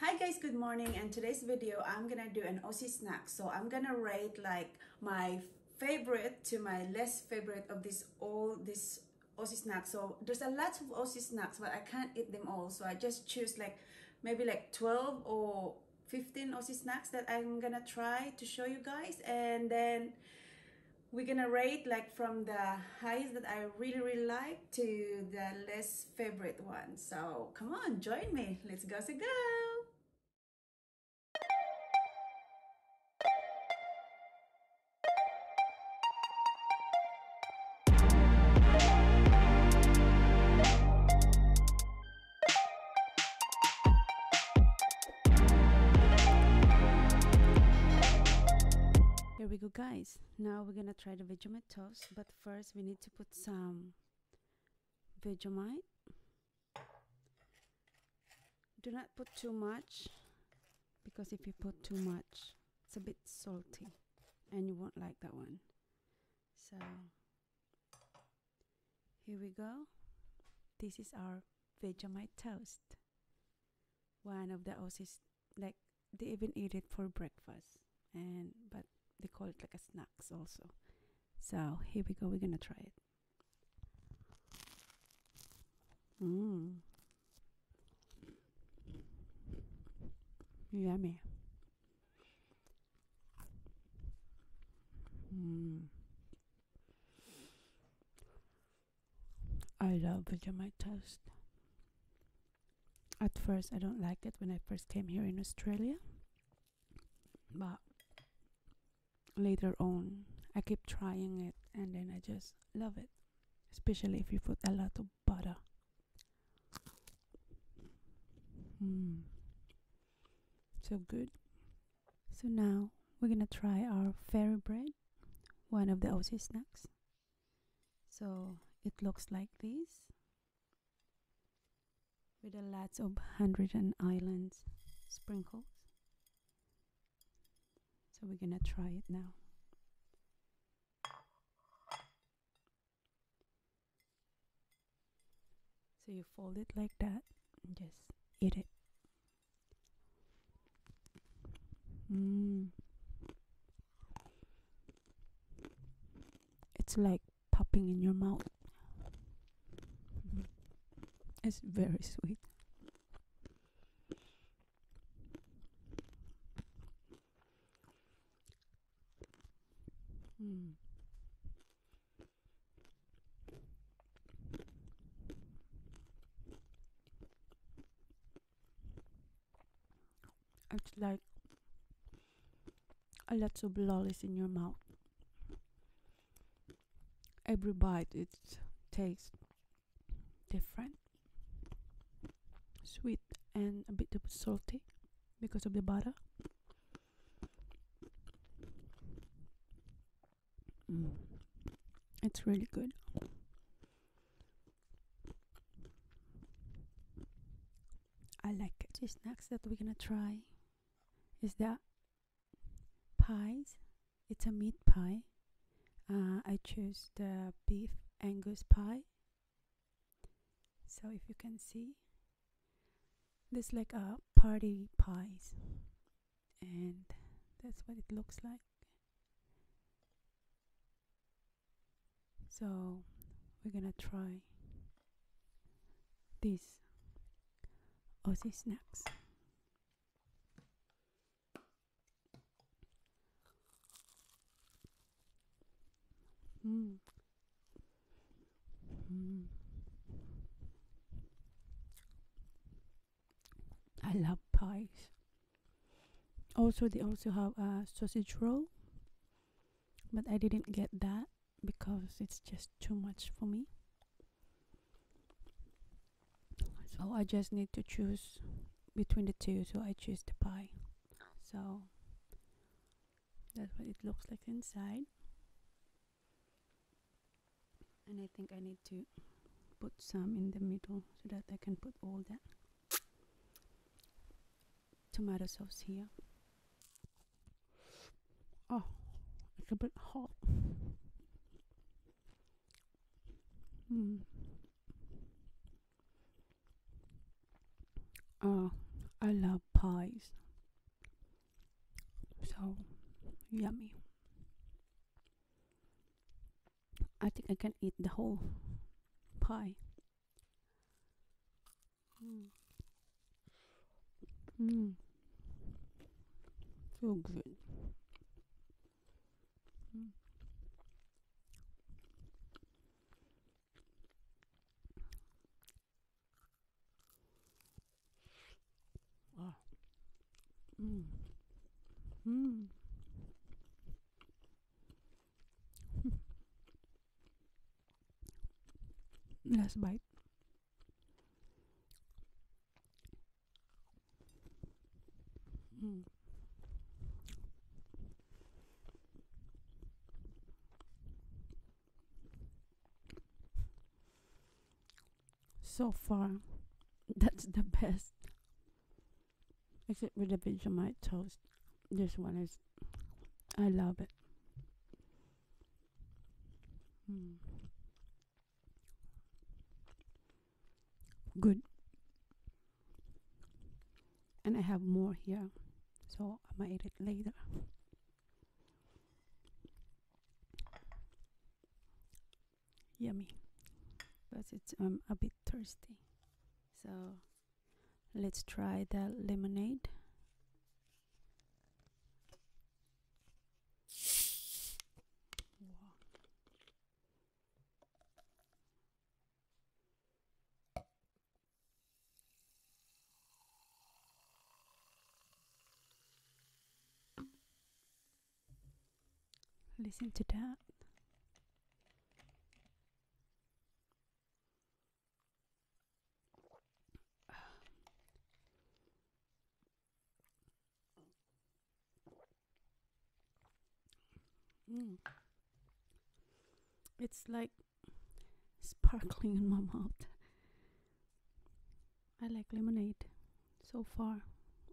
Hi guys, good morning. In today's video, I'm gonna do an Aussie snack. So I'm gonna rate like my favorite to my less favorite of this all this Aussie snacks. So there's a lot of Aussie snacks, but I can't eat them all. So I just choose like maybe like 12 or 15 Aussie snacks that I'm gonna try to show you guys. And then we're gonna rate like from the highest that I really, really like to the less favorite one. So come on, join me. Let's go, say go. There we go guys, now we're gonna try the Vegemite toast, but first we need to put some Vegemite. Do not put too much because if you put too much, it's a bit salty and you won't like that one. So here we go. This is our Vegemite toast. One of the Aussies like they even eat it for breakfast and but they call it like a snacks also so here we go we're gonna try it mmm yummy mmm I love Vegemite toast at first I don't like it when I first came here in Australia but later on I keep trying it and then I just love it especially if you put a lot of butter mm. so good so now we're gonna try our fairy bread one of the Aussie snacks so it looks like this with a lot of hundred and island sprinkles. So we're gonna try it now. So you fold it like that and just eat it. Mmm. It's like popping in your mouth. Mm-hmm. It's very sweet. Hmm. It's like a lot of lollies in your mouth. Every bite it tastes different, sweet and a bit of salty because of the butter. Mm. It's really good. I like The snacks that we're gonna try is the pies. It's a meat pie. Uh, I chose the beef Angus pie. So if you can see, this like a party pies, and that's what it looks like. So we're gonna try these Aussie snacks. Mm. Mm. I love pies. Also, they also have a sausage roll but I didn't get that because it's just too much for me. So I just need to choose between the two, so I choose the pie. So that's what it looks like inside. And I think I need to put some in the middle so that I can put all that tomato sauce here. Oh, it's a bit hot. Hmm. Oh, I love pies. So yummy. I think I can eat the whole pie. Mm. Mm. So good. Mm. Ah. Mm. Mm. Last bite. So far, that's the best. Except with the Vegemite toast. This one is I love it. Hmm. Good. And I have more here, so I might eat it later. Yummy. But it's i um, a bit thirsty. So Let's try that lemonade. Listen to that. It's like sparkling in my mouth. I like lemonade so far.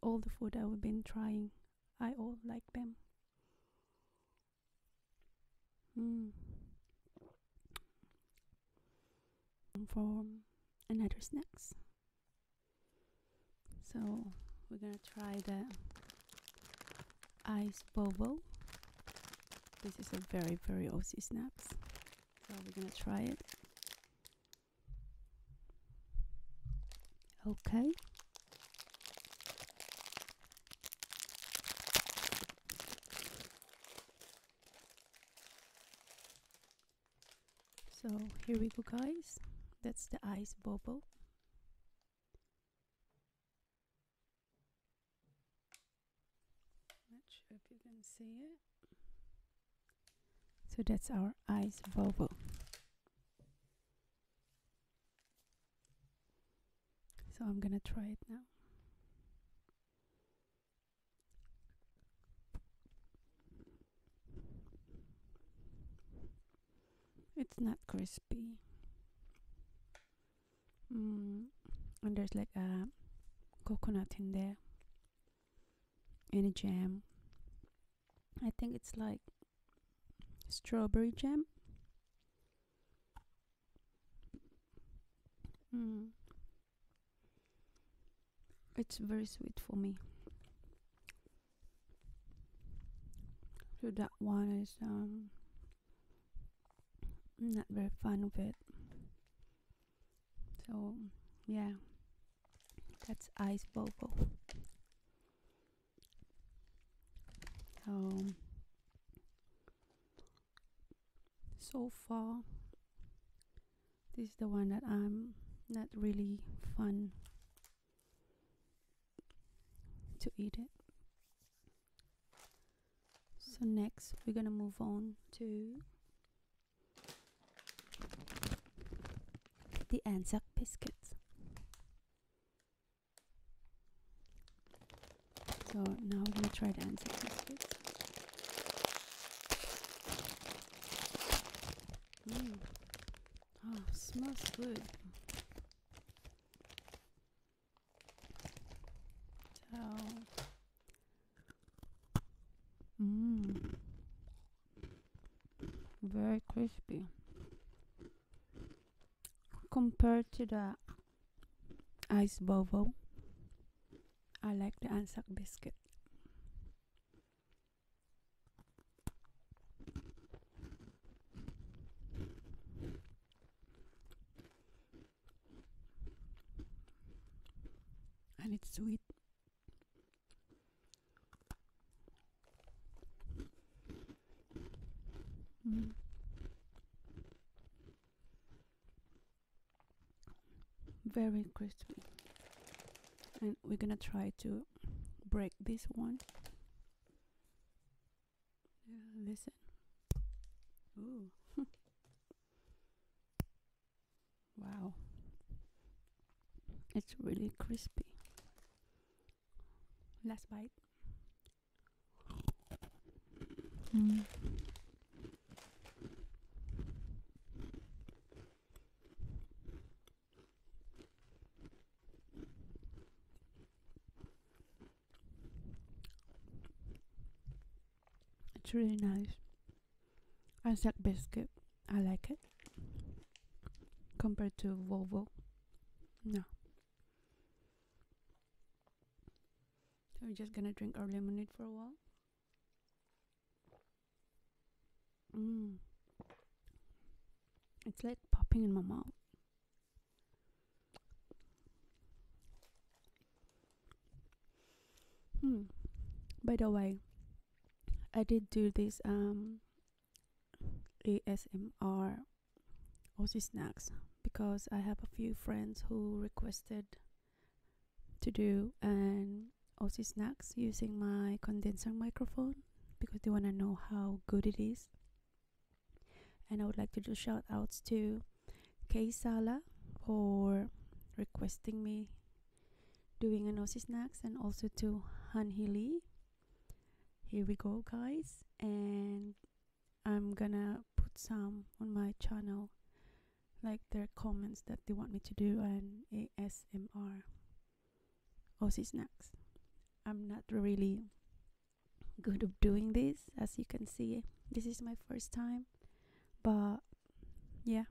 All the food I've been trying, I all like them. Mm. For another snacks. So we're gonna try the ice bobo. This is a very very Aussie snaps. So we're gonna try it. Okay. So here we go guys, that's the ice bobo. Not sure if you can see it. So that's our ice bobo. So I'm gonna try it now. It's not crispy. Mm, and there's like a coconut in there and a jam. I think it's like strawberry jam. Hmm. It's very sweet for me. So that one is um not very fun with it. So yeah, that's ice bobo. So so far this is the one that I'm not really fun to eat it so next we're gonna move on to the Anzac biscuits so now we're gonna try the answer these kids. Mm. Oh, smells good. So, mmm, very crispy compared to the Ice Bobo. I like the Anzac biscuit. And it's sweet. Mm very crispy and we're gonna try to break this one listen Ooh. wow it's really crispy last bite Mm. It's really nice. I Isaac biscuit. I like it. Compared to Volvo. No. So we're just gonna drink our lemonade for a while. Mm. It's like popping in my mouth. Hmm. By the way, I did do this um ASMR Aussie snacks because I have a few friends who requested to do an Aussie snacks using my condenser microphone because they want to know how good it is. And I would like to do shout outs to Kay Sala for requesting me doing an Aussie snacks and also to Hanhi Lee. Here we go, guys, and I'm gonna put some on my channel like their comments that they want me to do an ASMR Aussie snacks. I'm not really good at doing this as you can see this is my first time but yeah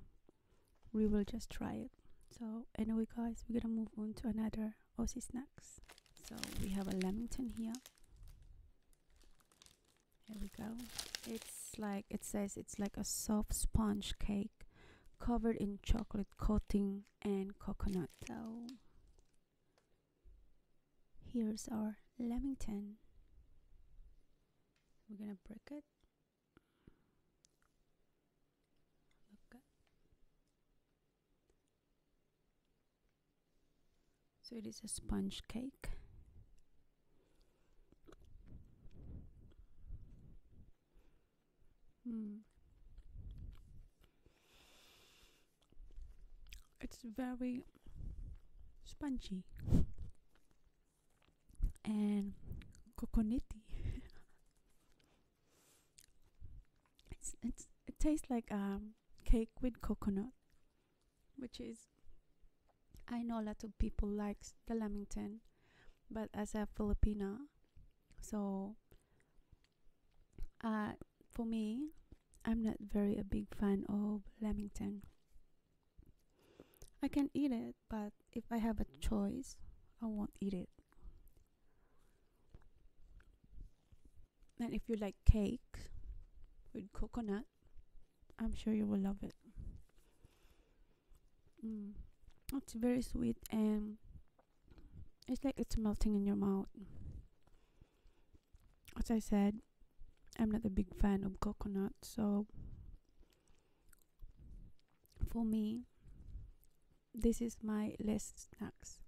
we will just try it so anyway guys we're gonna move on to another Aussie snacks so we have a lamington here here we go. It's like it says it's like a soft sponge cake covered in chocolate coating and coconut dough. Here's our lamington. We're gonna break it. Look so it is a sponge cake hmm. it's very spongy and coconutty it's, it's, it tastes like a um, cake with coconut which is I know a lot of people likes the lamington, but as a Filipina, so uh, for me, I'm not very a big fan of lamington. I can eat it, but if I have a choice, I won't eat it. And if you like cake with coconut, I'm sure you will love it. Mm. It's very sweet and it's like it's melting in your mouth. As I said, I'm not a big fan of coconut, so for me, this is my less snacks.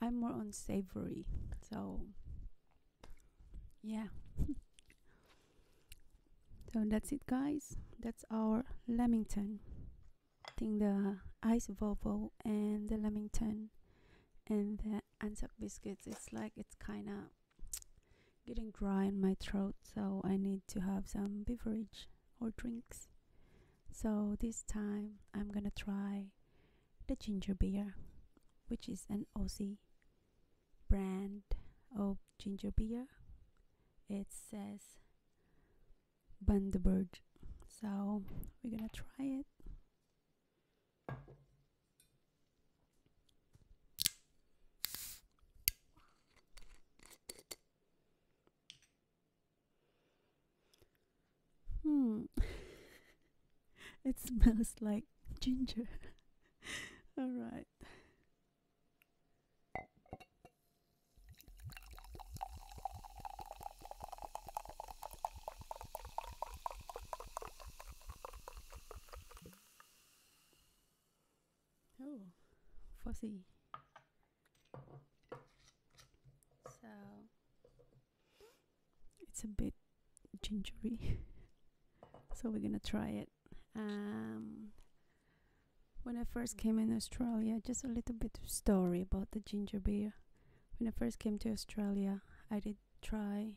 I'm more on savory, so yeah so that's it guys that's our lamington i think the ice vovo and the lamington and the Anzac biscuits it's like it's kind of getting dry in my throat so i need to have some beverage or drinks so this time i'm gonna try the ginger beer which is an aussie brand of ginger beer it says Bundaberg so we're gonna try it hmm it smells like ginger All right. Oh, fuzzy. So it's a bit gingery. so we're gonna try it um, when I first came in Australia, just a little bit of story about the ginger beer. When I first came to Australia, I did try.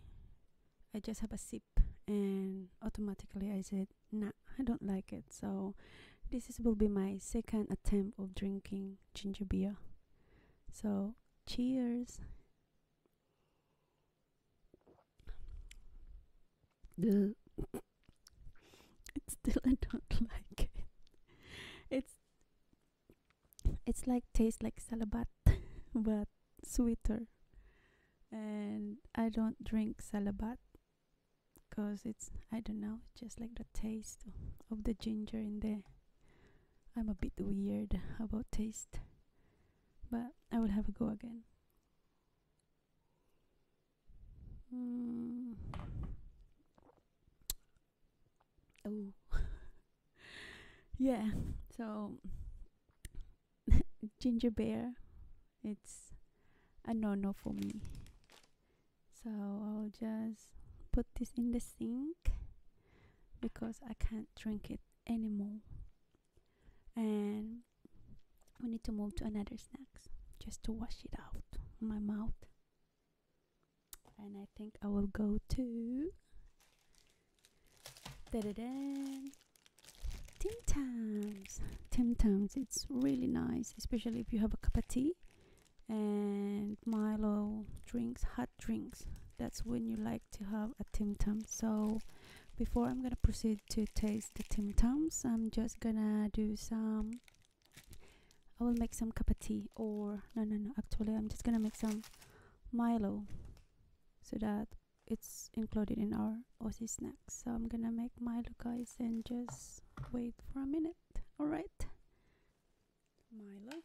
I just have a sip, and automatically I said, "Nah, I don't like it." So, this is, will be my second attempt of drinking ginger beer. So, cheers it's still I don't like it. It's it's like tastes like salabat but sweeter. And I don't drink salabat because it's I don't know, just like the taste of the ginger in there. I'm a bit weird about taste. But I will have a go again. Mm. Oh, yeah. So ginger beer, it's a no-no for me. So I'll just put this in the sink because I can't drink it anymore and we need to move to another snacks just to wash it out my mouth and I think I will go to da da Tim Tams. Tim Tams, it's really nice, especially if you have a cup of tea and Milo drinks, hot drinks. That's when you like to have a Tim Tam. So before I'm gonna proceed to taste the Tim Tams I'm just gonna do some I will make some cup of tea or no no no actually I'm just gonna make some Milo so that it's included in our Aussie snacks so I'm gonna make Milo guys and just wait for a minute alright Milo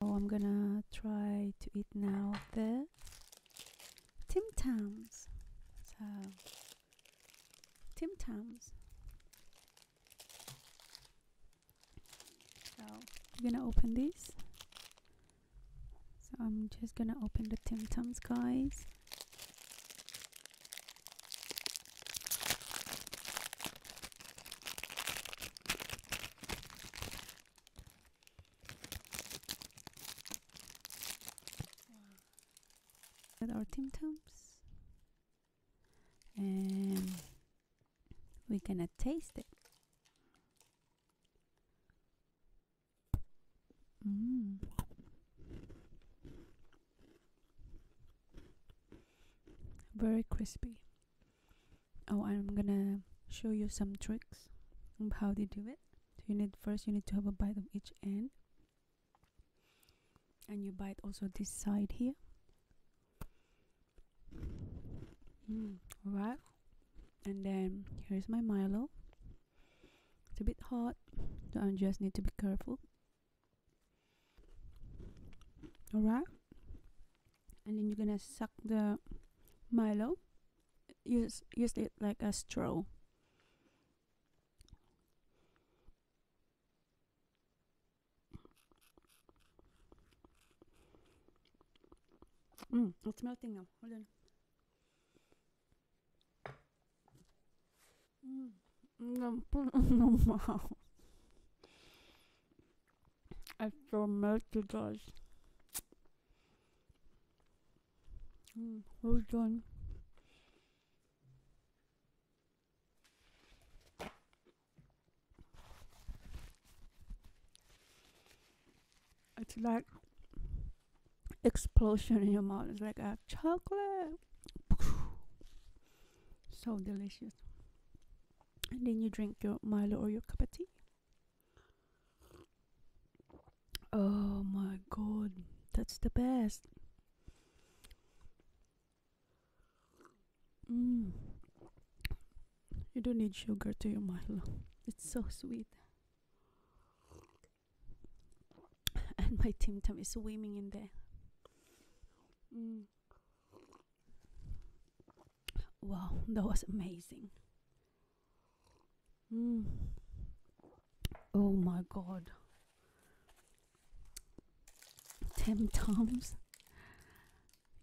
Oh, I'm gonna try to eat now the Tim Tams. So, uh, Tim Tams. So, I'm gonna open these. So, I'm just gonna open the Tim Tams, guys. Add our Tim Tams, and we're gonna taste it. Mm. Very crispy. Oh, I'm gonna show you some tricks on how they do it. So you need first you need to have a bite of each end, and you bite also this side here. Mm, all right, and then here's my Milo. It's a bit hot, so I just need to be careful. Alright? And then you're gonna suck the Milo. Use, use it like a straw. Mm, it's melting now. Hold on wow. I feel melted, guys. Mm, well done. It's like explosion in your mouth. It's like a chocolate. So delicious. And then you drink your Milo or your cup of tea. Oh my god, that's the best. Mm. You don't need sugar to your Milo. It's so sweet. and my Tim is swimming in there. Mm. Wow, that was amazing. Mm. Oh my god. Tim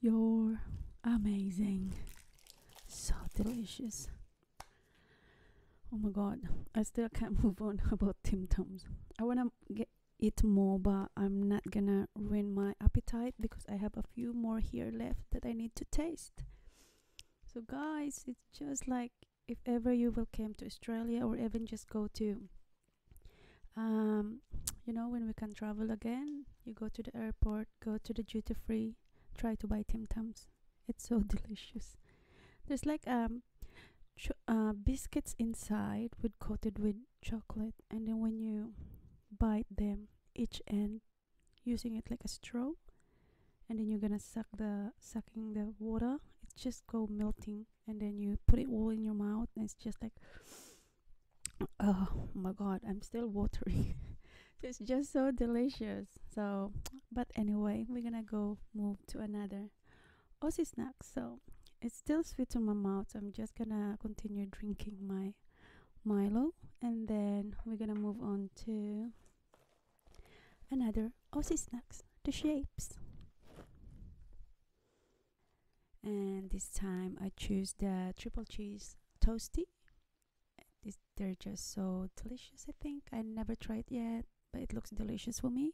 you're amazing. So delicious. Oh my god, I still can't move on about Tim Tams. I wanna get eat more, but I'm not gonna ruin my appetite because I have a few more here left that I need to taste. So guys, it's just like if ever you will come to Australia or even just go to um, you know when we can travel again, you go to the airport, go to the duty free, try to buy Tim Tams. It's so delicious. There's like um, uh, biscuits inside with coated with chocolate, and then when you bite them, each end using it like a straw, and then you're gonna suck the sucking the water. It just go melting, and then you put it all in your mouth, and it's just like, oh my god, I'm still watery. it's just so delicious. So but anyway we're gonna go move to another Aussie snack so it's still sweet to my mouth I'm just gonna continue drinking my Milo and then we're gonna move on to another Aussie snacks the shapes and this time I choose the triple cheese toasty these, they're just so delicious I think I never tried yet but it looks delicious for me.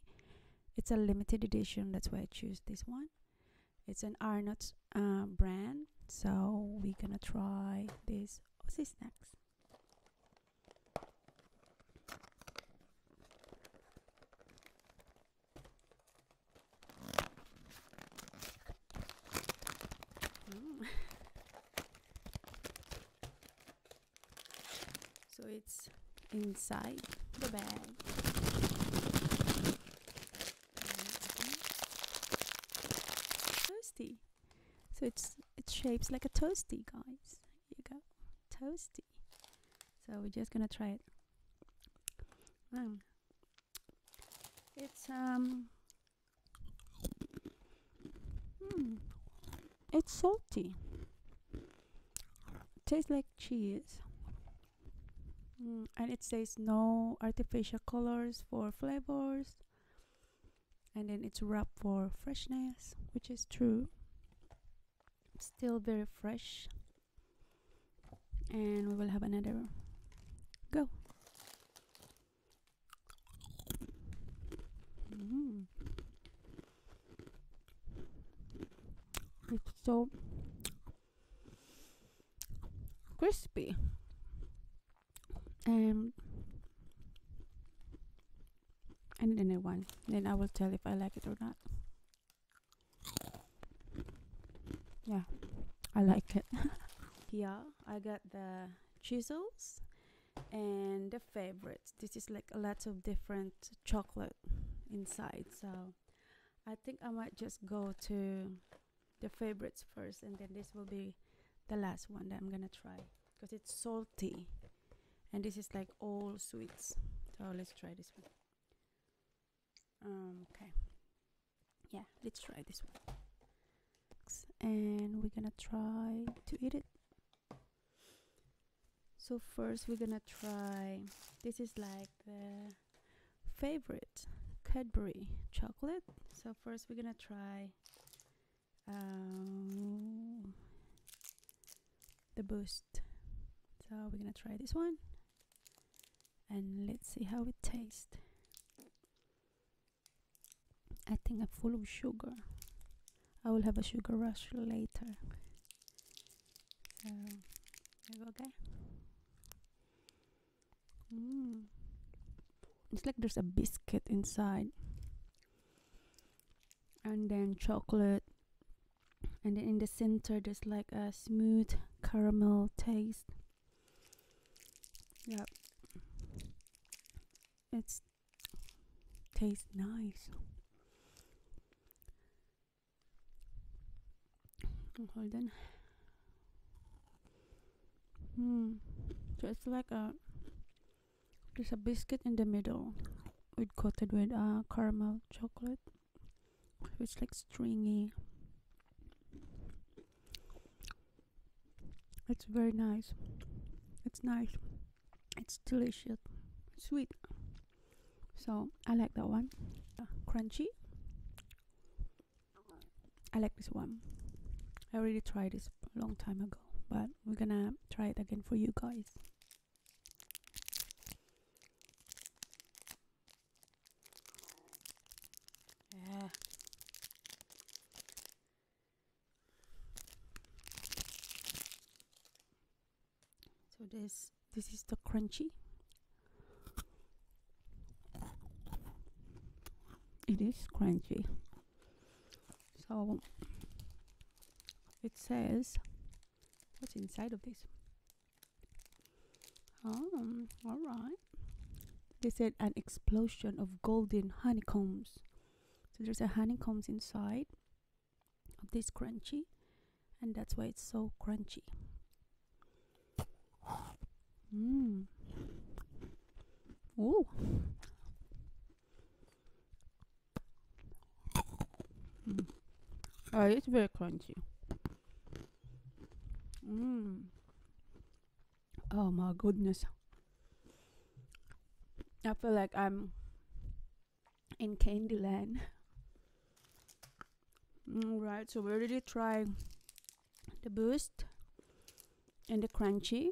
It's a limited edition, that's why I choose this one. It's an Arnott's uh, brand, so we're gonna try this mm. Aussie snacks. so it's inside the bag toasty so it's it shapes like a toasty guys you go toasty so we're just gonna try it mm. it's um hmm. It's salty. Tastes like cheese. Mm, and it says no artificial colors for flavors. And then it's wrapped for freshness, which is true. Still very fresh. And we will have another go. Mm. It's so crispy and and then I one. then I will tell if I like it or not yeah I like it yeah I got the chisels and the favorites this is like a lot of different chocolate inside so i think i might just go to the favorites first and then this will be the last one that i'm gonna try because it's salty and this is like all sweets so let's try this one um, okay yeah let's try this one and we're gonna try to eat it so first we're gonna try, this is like the favorite Cadbury chocolate. So first we're gonna try um, the Boost. So we're gonna try this one and let's see how it tastes. I think I'm full of sugar. I will have a sugar rush later. Um, okay. Mm. It's like there's a biscuit inside, and then chocolate, and then in the center there's like a smooth caramel taste. Yeah, it's Tastes nice. Hold on. Hmm. So it's like a there's a biscuit in the middle with coated with uh, caramel chocolate. It's like stringy. It's very nice. It's nice it's delicious sweet so i like that one crunchy i like this one i already tried this a long time ago but we're gonna try it again for you guys yeah so this this is the crunchy it is crunchy so it says what's inside of this Oh, um, all right they said an explosion of golden honeycombs so there's a honeycombs inside of this crunchy and that's why it's so crunchy mm. Ooh. Mm. Oh, it's very crunchy. Mm. Oh my goodness. I feel like I'm in Candyland. Right. so where did you try the Boost and the Crunchy,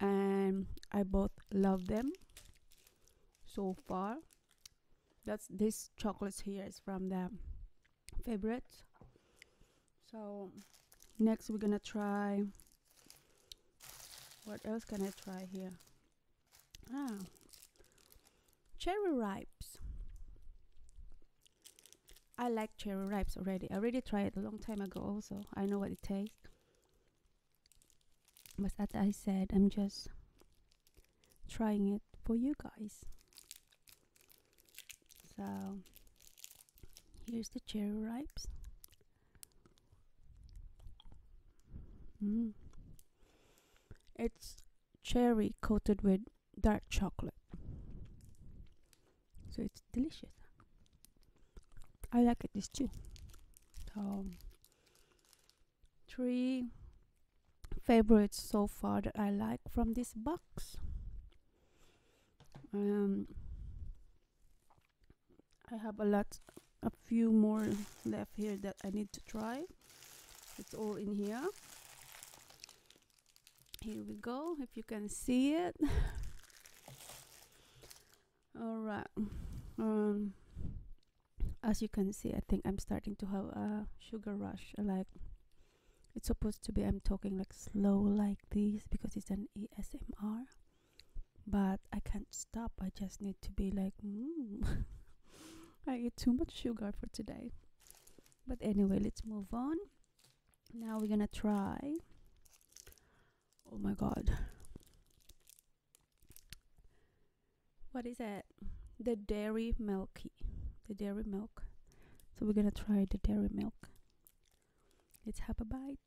and I both love them so far. That's this chocolate here is from the favorite. So next we're gonna try. What else can I try here? Ah, cherry ripes. I like cherry ripes already. I already tried a long time ago also. I know what it tastes. But as I said, I'm just trying it for you guys. So here's the cherry ripes. Mm. It's cherry coated with dark chocolate. So it's delicious. I like it this too. So um, three favorites so far that I like from this box. Um, I have a lot a few more left here that I need to try it's all in here here we go if you can see it all right um as you can see i think i'm starting to have a sugar rush like it's supposed to be i'm talking like slow like this because it's an asmr but I can't stop. I just need to be like, mm. I eat too much sugar for today. But anyway, let's move on. Now we're gonna try. Oh my god. What is that? The dairy milky. The dairy milk. So we're gonna try the dairy milk. Let's have a bite.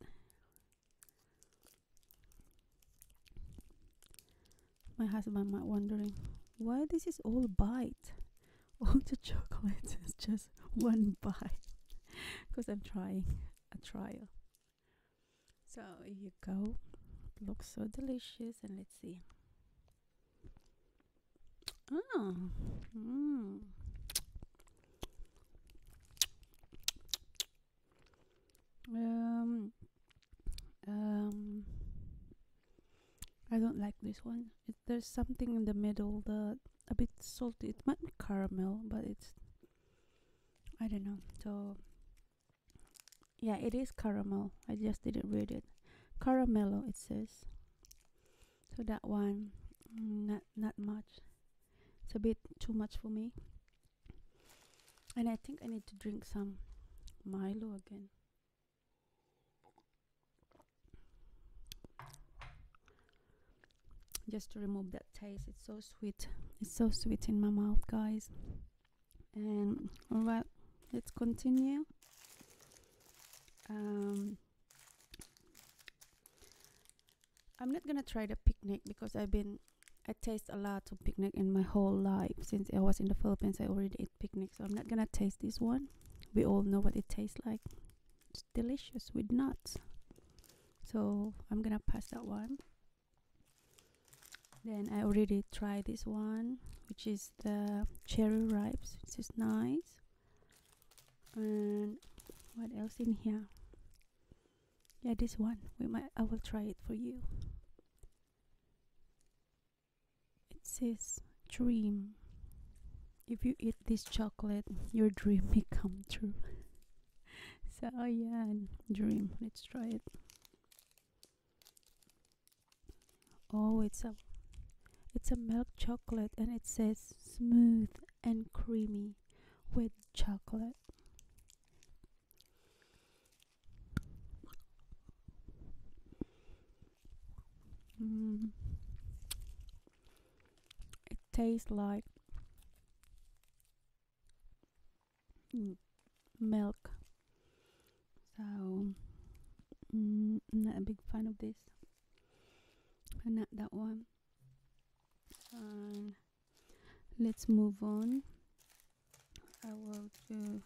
My husband might wondering why this is all bite. All the chocolate is just one bite. Because I'm trying a trial. So here you go. looks so delicious and let's see. Oh. Mm. Um, um, I don't like this one. It, there's something in the middle that a bit salty. It might be caramel, but it's I don't know. So yeah, it is caramel. I just didn't read it. Caramello, it says. So that one, mm, not not much. It's a bit too much for me. And I think I need to drink some Milo again. Just to remove that taste. It's so sweet. It's so sweet in my mouth, guys. And alright, let's continue. Um, I'm not gonna try the picnic because I've been I taste a lot of picnic in my whole life. Since I was in the Philippines, I already ate picnic, so I'm not gonna taste this one. We all know what it tastes like. It's delicious with nuts. So I'm gonna pass that one. Then I already tried this one, which is the cherry ripes. This is nice. And what else in here? Yeah, this one. We might. I will try it for you. It says dream. If you eat this chocolate, your dream may come true. so oh ayan, dream. Let's try it. Oh, it's a it's a milk chocolate and it says smooth and creamy with chocolate. Mm. It tastes like milk. So, mm, not a big fan of this. And not that one. And let's move on I will do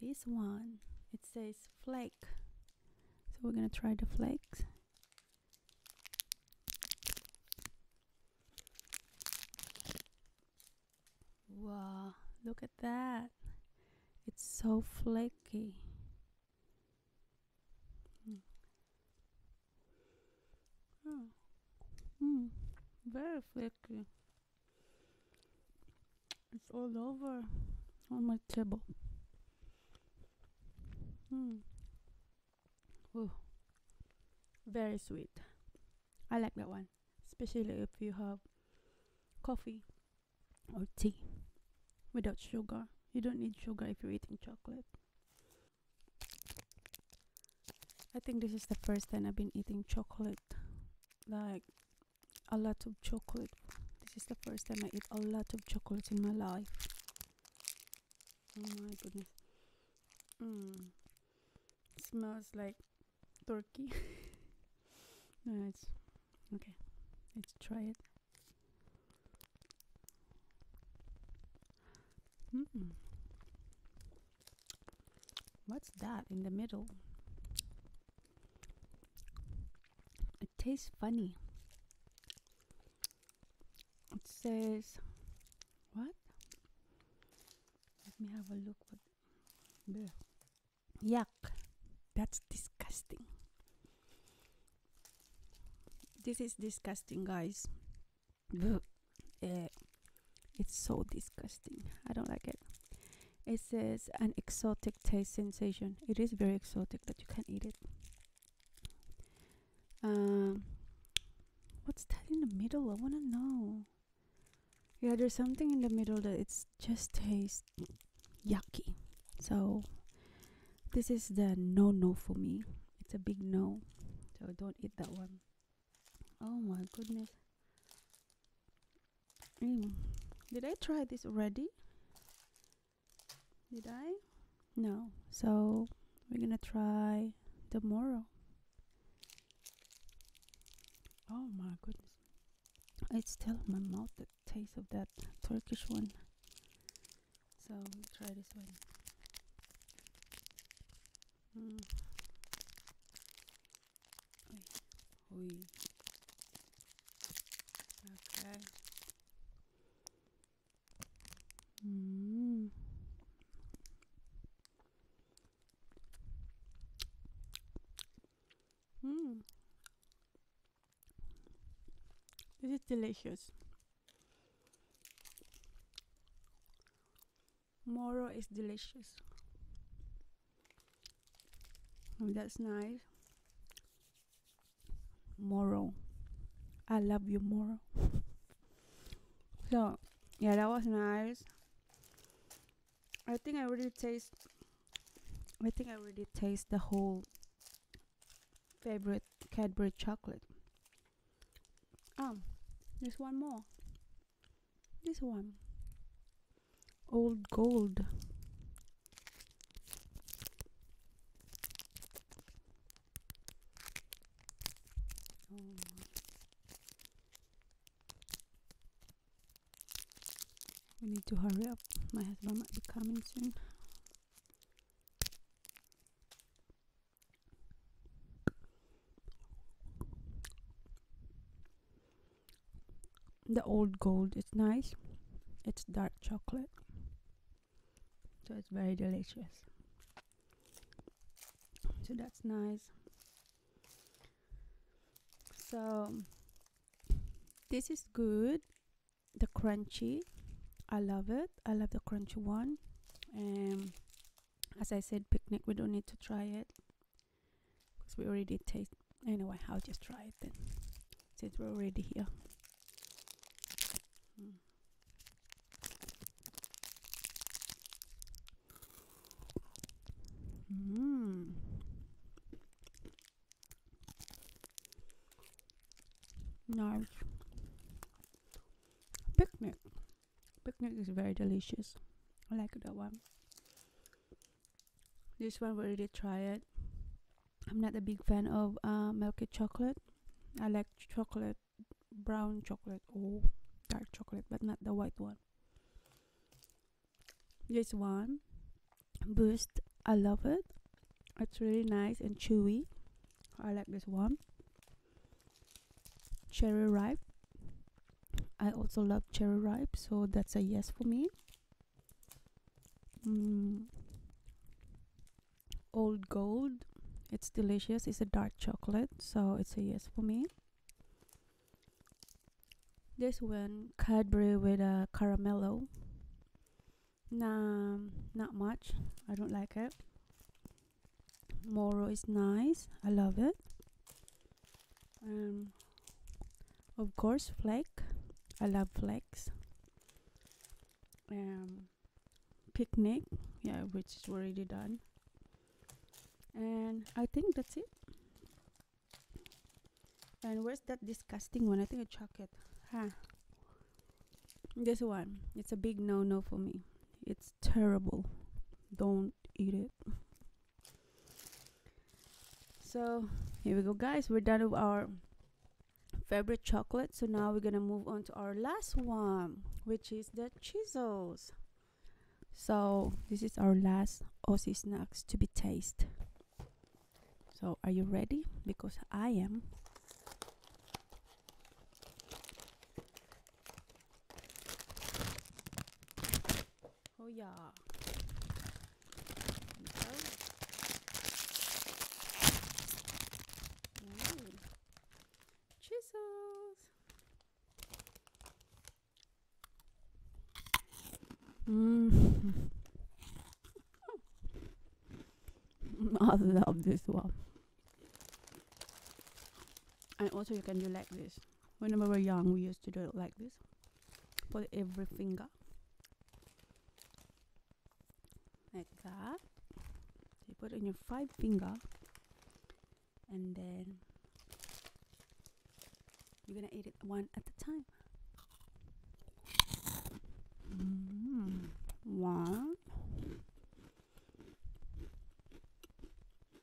this one. It says flake. So we're going to try the flakes. Wow, look at that. It's so flaky. Hmm. Oh. Mm. Very flaky. It's all over on my table. Mm. Ooh. Very sweet. I like that one, especially if you have coffee or tea without sugar. You don't need sugar if you're eating chocolate. I think this is the first time I've been eating chocolate, like a lot of chocolate. This is the first time I eat a lot of chocolate in my life. Oh my goodness. Mm. Smells like turkey. no, it's okay. Let's try it. Mm What's that in the middle? It tastes funny. It says, what? Let me have a look. What? Yuck. That's disgusting. This is disgusting, guys. Eh, it's so disgusting. I don't like it. It says an exotic taste sensation. It is very exotic but you can not eat it. Um, what's that in the middle? I wanna know. Yeah, there's something in the middle that it just tastes yucky. So this is the no no for me. It's a big no. So don't eat that one oh my goodness did I try this already did I no so we're gonna try tomorrow oh my goodness it's still in my mouth the taste of that Turkish one so we'll try this one Mm. Oy. Okay. Mm. Mm. This is delicious. Moro is delicious. Mm, that's nice. Moro. I love you, Moro. so, yeah, that was nice. I think I already taste. I think I already taste the whole favorite Cadbury chocolate. Um, there's one more this one old gold oh we need to hurry up my husband might be coming soon the old gold is nice it's dark chocolate so it's very delicious so that's nice so this is good the crunchy i love it i love the crunchy one um as I said picnic we don't need to try it because we already taste anyway I'll just try it then since we're already here mm. Nice. Picnic picnic is very delicious i like that one this one we already tried i'm not a big fan of uh, milk chocolate i like chocolate brown chocolate or oh, dark chocolate but not the white one this one boost i love it it's really nice and chewy i like this one cherry ripe i also love cherry ripe so that's a yes for me mm. old gold it's delicious it's a dark chocolate so it's a yes for me this one Cadbury with a uh, caramello nah not much I don't like it Moro is nice. I love it. Um, of course, flake. I love flakes. Um, picnic, yeah, which is already done. And I think that's it. And where's that disgusting one? I think a chocolate. Huh. This one. It's a big no no for me. It's terrible. Don't eat it so here we go guys we're done with our favorite chocolate so now we're gonna move on to our last one which is the chisels so this is our last aussie snacks to be tasted so are you ready because i am Oh yeah. Mm. Chisels. Mm. I love this one. And also you can do like this. Whenever we are young we used to do it like this Put every finger like that you put on your five finger and then you're gonna eat it one at a time mm-hmm. one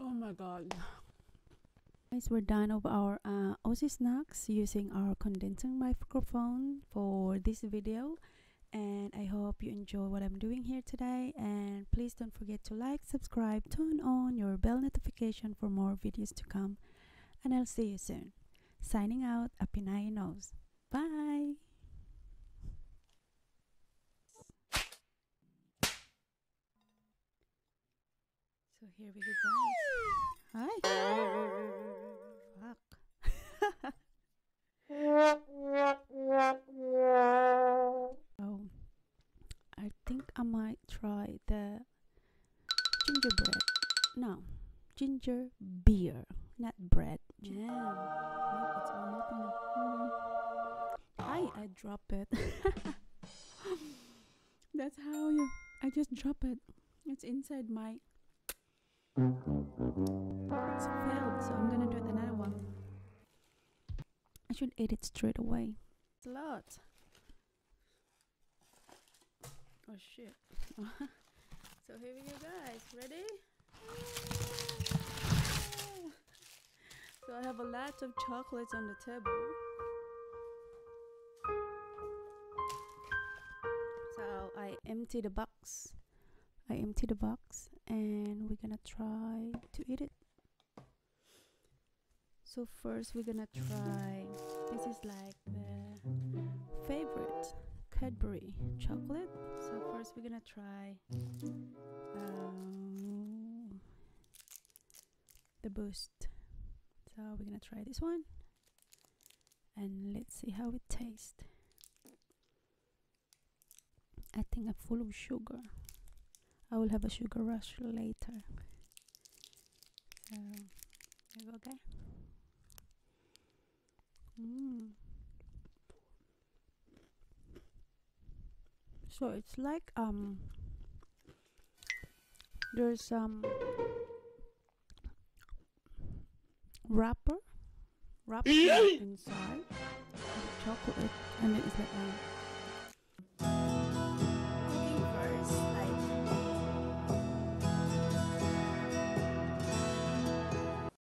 Oh my god. Guys, we're done of our uh, Aussie snacks using our condenser microphone for this video and I hope you enjoy what I'm doing here today and please don't forget to like, subscribe, turn on your bell notification for more videos to come and I'll see you soon. Signing out, Apinaya Knows. Bye! So here we go, Hi. Fuck. oh, I think I might try the gingerbread. No, ginger beer, not bread. Jam. No, I I drop it. That's how you. I just drop it. It's inside my. It's failed, so I'm gonna do another one. I should eat it straight away. It's a lot. Oh shit. so here we go, guys. Ready? So I have a lot of chocolates on the table. So I empty the box. I empty the box and we're gonna try to eat it. So first we're gonna try this is like the favorite Cadbury chocolate. So first we're gonna try uh, the boost so we're gonna try this one and let's see how it tastes I think I'm full of sugar I will have a sugar rush later so Mm. So it's like um there's some um, wrapper wrapper mm. inside chocolate and it's like um,